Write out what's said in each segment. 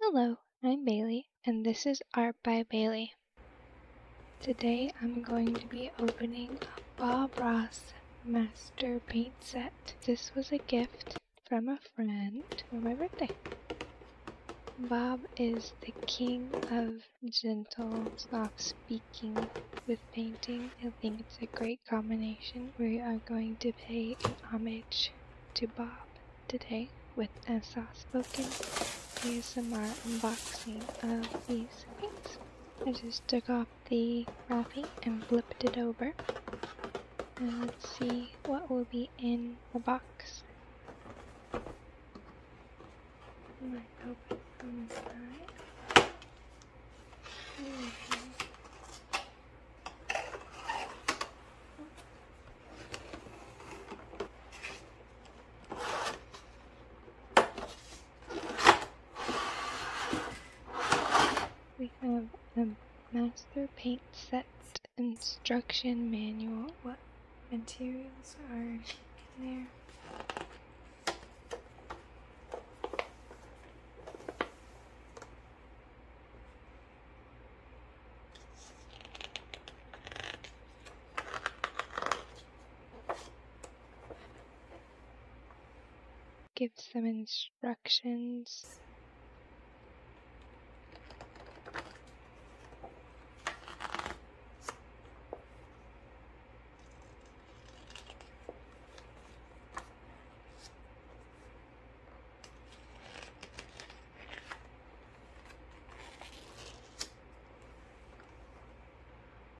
Hello, I'm Bailey, and this is Art by Bailey. Today I'm going to be opening a Bob Ross master paint set. This was a gift from a friend for my birthday. Bob is the king of gentle, soft speed with painting. I think it's a great combination. We are going to pay homage to Bob today with a soft spoken ASMR unboxing of these paints. I just took off the wrapping and flipped it over. And let's see what will be in the box. I might open from inside. We have a Master Paint Set Instruction Manual. What materials are in there? Give some instructions.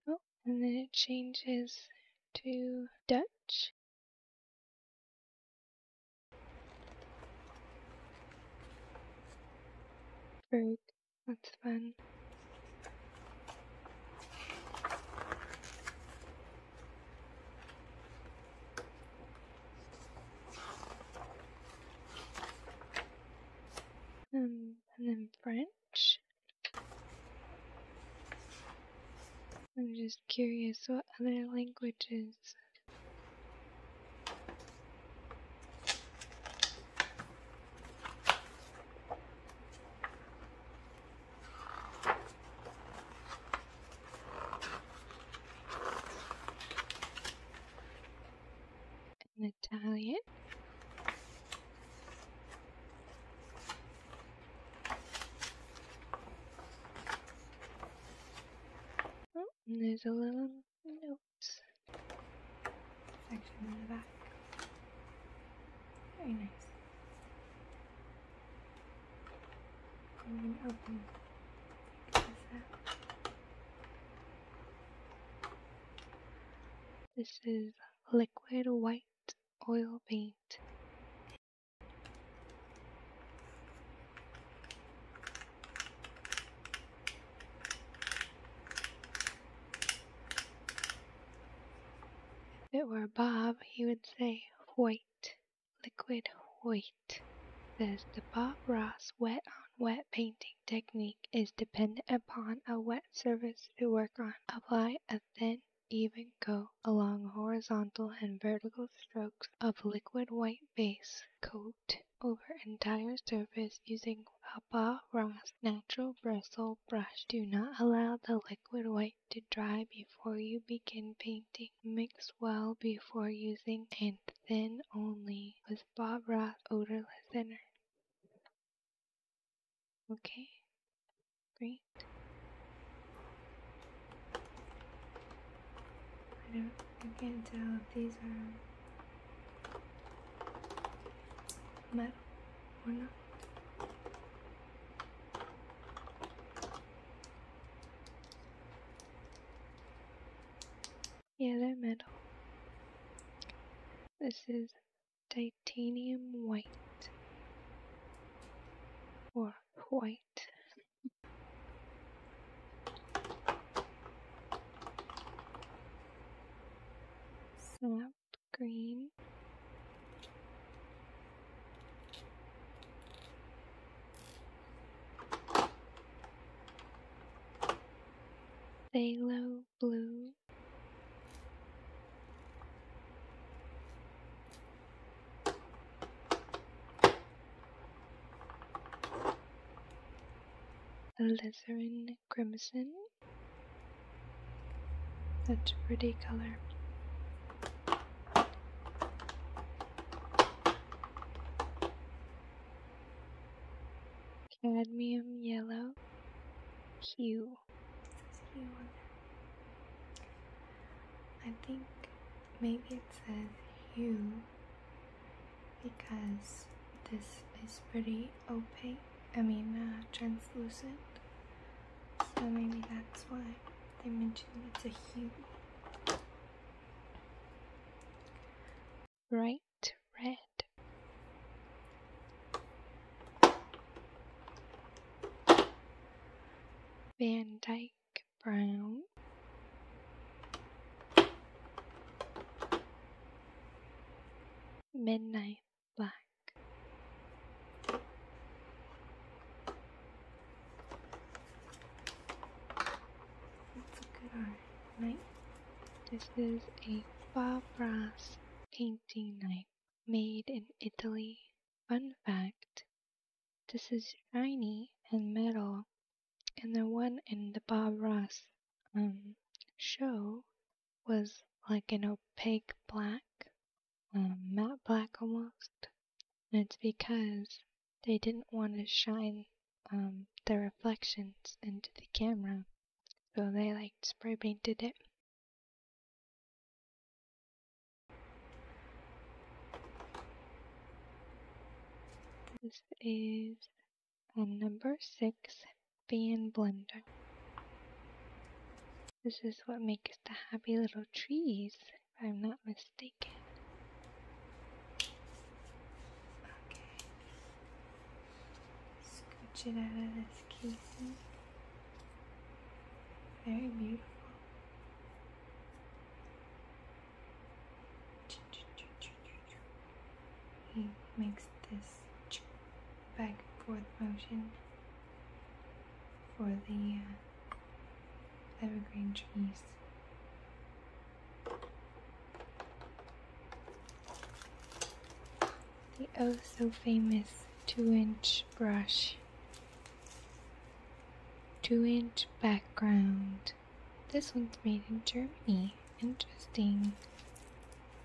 Oh, and then it changes to Dutch. For, um, and then French. I'm just curious what other languages an Italian. Oh, and there's a little note section in the back. Very nice. I'm going to open this up. This is liquid white oil paint. If it were Bob, he would say, White, liquid white. Says the Bob Ross wet on wet painting technique is dependent upon a wet surface to work on. Apply a thin even coat along horizontal and vertical strokes of liquid white base. Coat over entire surface using upper round's natural bristle brush. Do not allow the liquid white to dry before you begin painting. Mix well before using and thin only with Bob Ross odorless thinner. Okay, great. I don't, I can't tell if these are Metal. or not. Yeah, they metal. This is titanium white. Or white. Snap green. Phthalo blue. Alizarin crimson. That's a pretty color. Cadmium yellow hue I think maybe it says hue because this is pretty opaque I mean uh, translucent, so maybe that's why they mentioned it's a hue. Bright red. Van Dyke Brown. Midnight back. a good art night. This is a Bob Ross painting knife made in Italy. Fun fact this is shiny and metal, and the one in the Bob Ross um, show was like an opaque black, um, matte black almost. And it's because they didn't want to shine um, the reflections into the camera. So they like spray painted it. This is and number 6 being Blender. This is what makes the happy little trees, if I'm not mistaken. Okay. Scooch it out of this casing. Very beautiful. He makes this back and forth motion for the uh, evergreen trees. The oh so famous two inch brush, two inch background. This one's made in Germany. Interesting.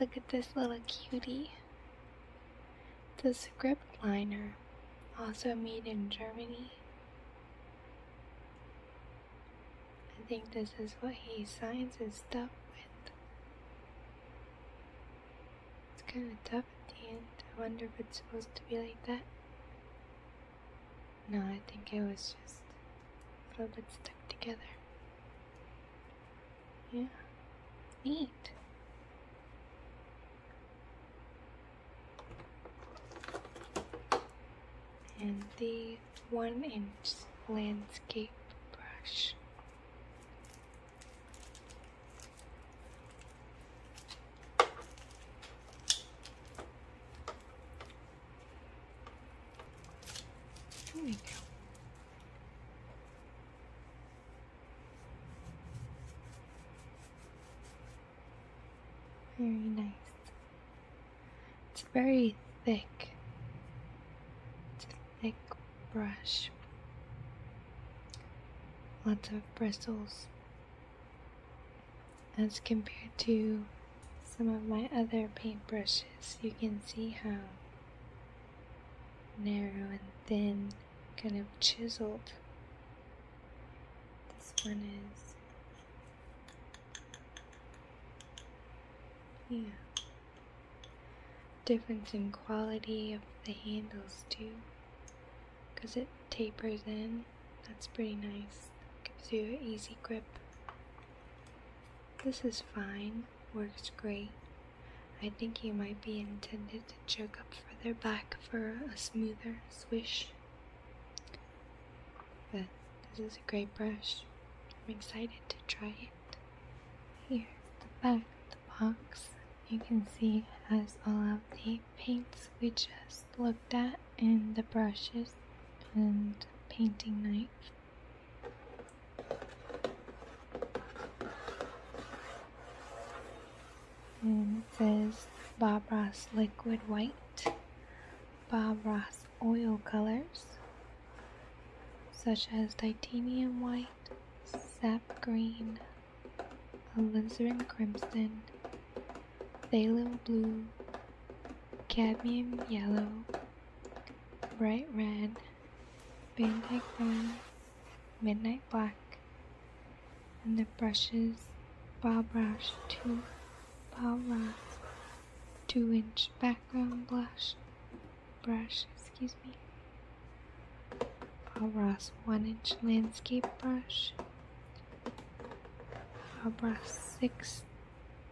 Look at this little cutie. The script liner, also made in Germany. I think this is what he signs his stuff with. It's kind of tough at the end. I wonder if it's supposed to be like that. No, I think it was just a little bit stuck together. Yeah. Neat. And the one inch landscape brush. There we go. Very nice. It's very thick. It's a thick brush. Lots of bristles as compared to some of my other paintbrushes, you can see how narrow and thin, kind of chiseled this one is. Yeah. Difference in quality of the handles too, because it tapers in. That's pretty nice. Gives you an easy grip. This is fine, works great. I think he might be intended to choke up further back for a smoother swish. But this is a great brush. I'm excited to try it. Here, the back of the box. You can see it has all of the paints we just looked at and the brushes and painting knife. And it says Bob Ross Liquid White, Bob Ross Oil Colors, such as Titanium White, Sap Green, Alizarin Crimson, Phthalo Blue, Cadmium Yellow, bright red, midnight brown, midnight black, and the brushes Bob Rush 2 Bob Ross 2 inch background blush brush, excuse me. Bob Ross 1 inch landscape brush. Bob Ross 6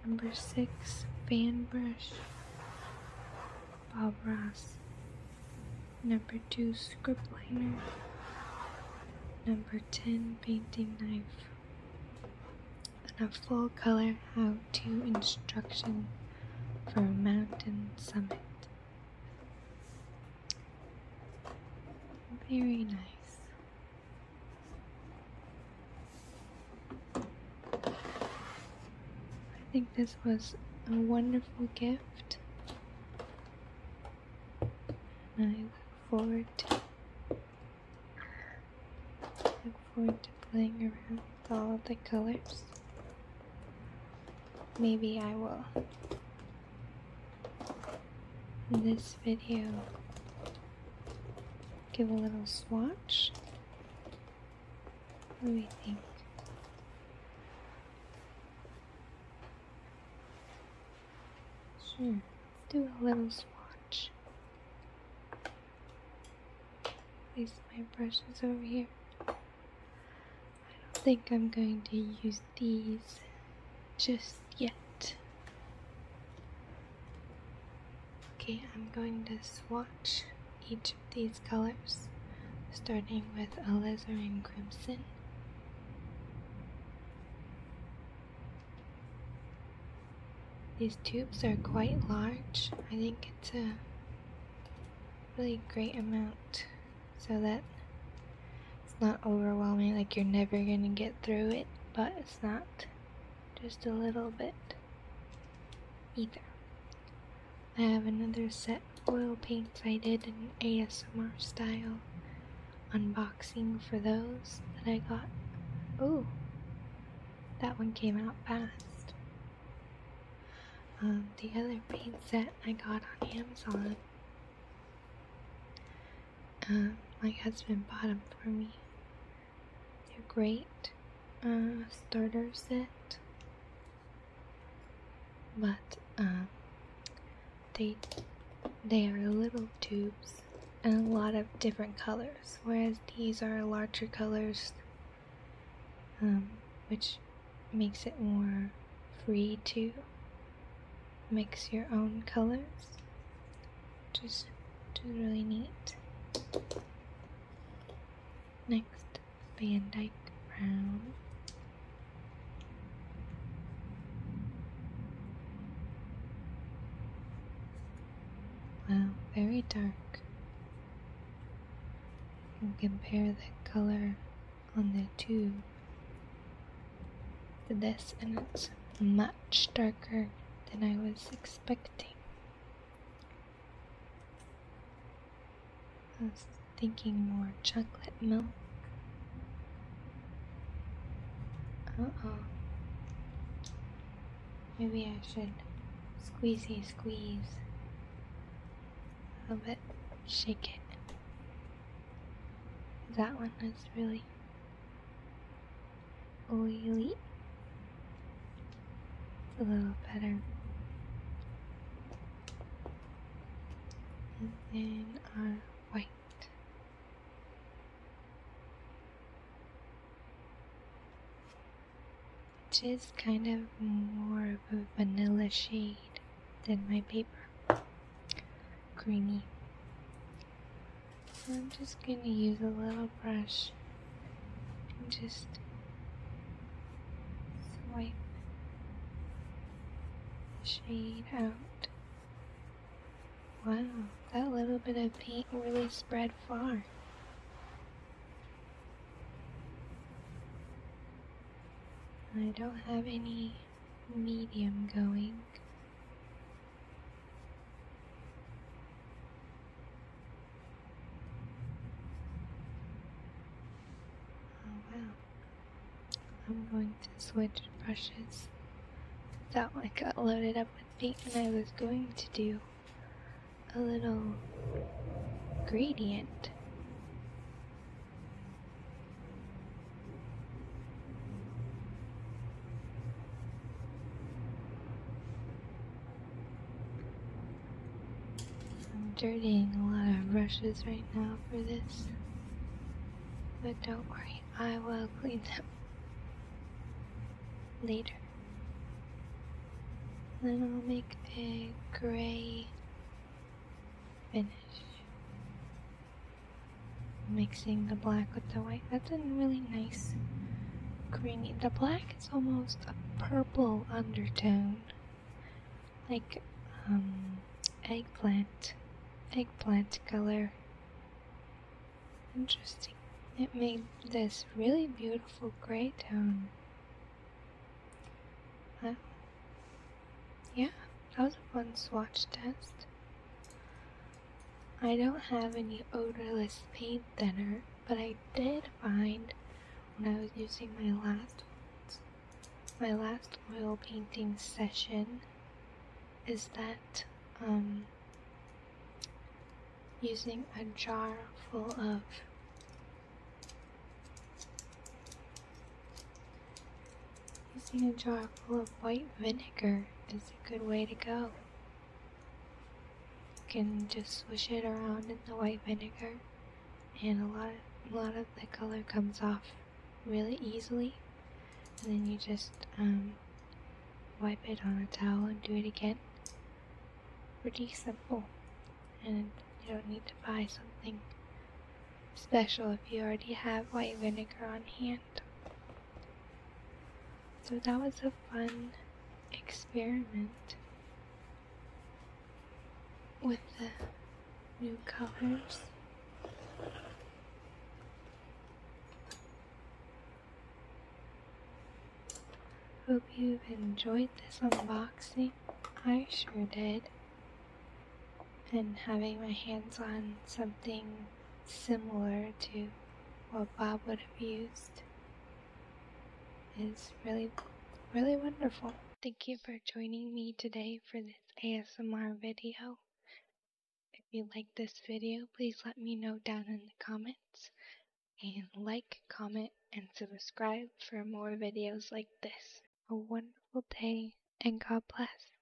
Number six, fan Brush, Bob Ross. Number two, Scriptliner. Number 10, Painting Knife. And a full color how to instruction for mountain summit. Very nice. I think this was a wonderful gift. And I look forward to look forward to playing around with all of the colors. Maybe I will in this video give a little swatch. Let me think? Sure, hmm, let's do a little swatch. Place my brushes over here. I don't think I'm going to use these just yet. Okay, I'm going to swatch each of these colors, starting with a alizarin crimson. These tubes are quite large. I think it's a really great amount so that it's not overwhelming, like you're never gonna get through it, but it's not just a little bit either. I have another set of oil paints I did in ASMR style unboxing for those that I got. Ooh, that one came out fast. Um, the other paint set I got on Amazon um, my husband bought them for me. They're great uh, starter set, but um, they they are little tubes and a lot of different colors, whereas these are larger colors, um, which makes it more free to mix your own colors just do really neat next van dyke brown wow very dark compare the color on the tube this and it's much darker than I was expecting. I was thinking more chocolate milk. Uh-oh. Maybe I should squeezy squeeze a little bit, shake it. That one is really oily, oily. It's a little better. And then our white. Which is kind of more of a vanilla shade than my paper. Creamy. I'm just going to use a little brush and just swipe the shade out. Wow, that little bit of paint really spread far. I don't have any medium going. Oh wow. I'm going to switch brushes. That one got loaded up with paint and I was going to do a little gradient. I'm dirtying a lot of brushes right now for this, but don't worry, I will clean them later. Then I'll make a gray finish mixing the black with the white. That's a really nice creamy. The black is almost a purple undertone, like um, eggplant, eggplant color. Interesting. It made this really beautiful gray tone. yeah. That was a fun swatch test. I don't have any odorless paint thinner, but I did find when I was using my last my last oil painting session is that um, using a jar full of Using a jar full of white vinegar is a good way to go. You can just swish it around in the white vinegar and a lot of, a lot of the color comes off really easily. And then you just um, wipe it on a towel and do it again. Pretty simple. And you don't need to buy something special if you already have white vinegar on hand. So that was a fun experiment with the new colors. Hope you've enjoyed this unboxing. I sure did. And having my hands on something similar to what Bob would have used is really, really wonderful. Thank you for joining me today for this ASMR video. If you like this video, please let me know down in the comments. And like, comment, and subscribe for more videos like this. A wonderful day, and God bless.